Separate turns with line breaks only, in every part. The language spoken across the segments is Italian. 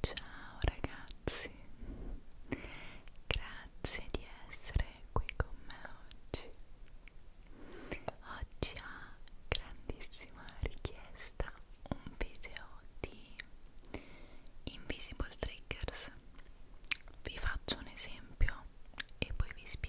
Ciao ragazzi, grazie di essere qui con me oggi. Oggi a grandissima richiesta un video di Invisible Triggers. Vi faccio un esempio e poi vi spiego.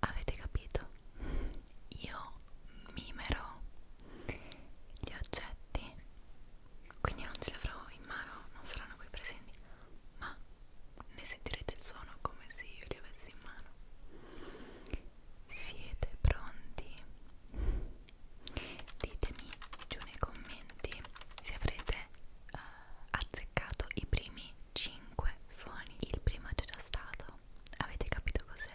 Avete capito? Io mimerò gli oggetti, quindi non ce li avrò in mano, non saranno qui presenti, ma ne sentirete il suono come se io li avessi in mano. Siete pronti? Ditemi giù nei commenti se avrete avere uh, azzeccato i primi 5 suoni. Il primo c'è già stato. Avete capito cos'era?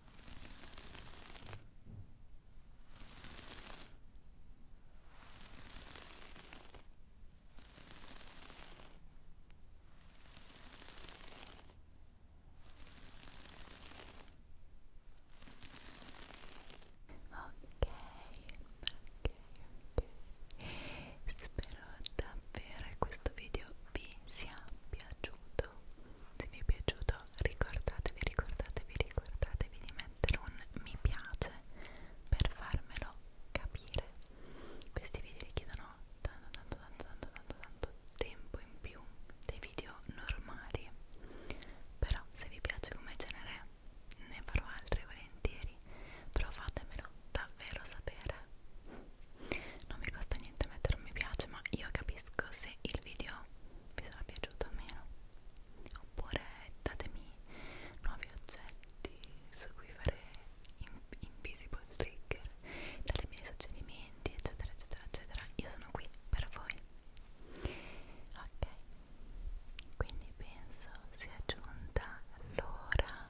ok spero davvero che questo video vi sia piaciuto piaciuto se vi è piaciuto ricordatevi ricordatevi ricordatevi di mettere un mi piace per farmelo capire questi video richiedono tanto tanto tanto tanto tanto tanto tempo in più dei video normali però se vi piace come genere ne farò altri volentieri però fatemelo davvero sapere non mi costa niente mettere un mi piace ma io capisco se il video vi sarà piaciuto o meno oppure datemi nuovi oggetti su cui fare in invisible trigger datemi dei suggerimenti eccetera eccetera eccetera io sono qui per voi ok quindi penso sia giunta l'ora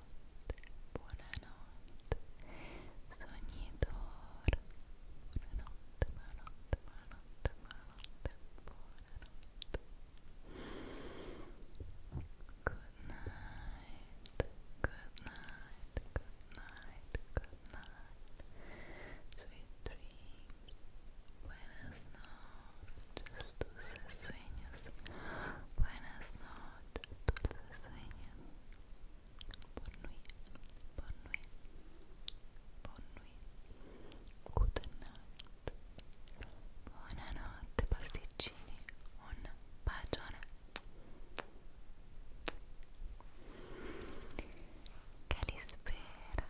buonanotte, buonanotte, sognitore, buonanotte, buonanotte, buonanotte, buonanotte, Good night, good night, good night, good night. Sweet dreams, buenas noches dulces sueños, buenas noches, dulces sueños, bonne nuit, bonne nuit, bonne nuit, good night, buonanotte pasticcini, un bacione. Calispera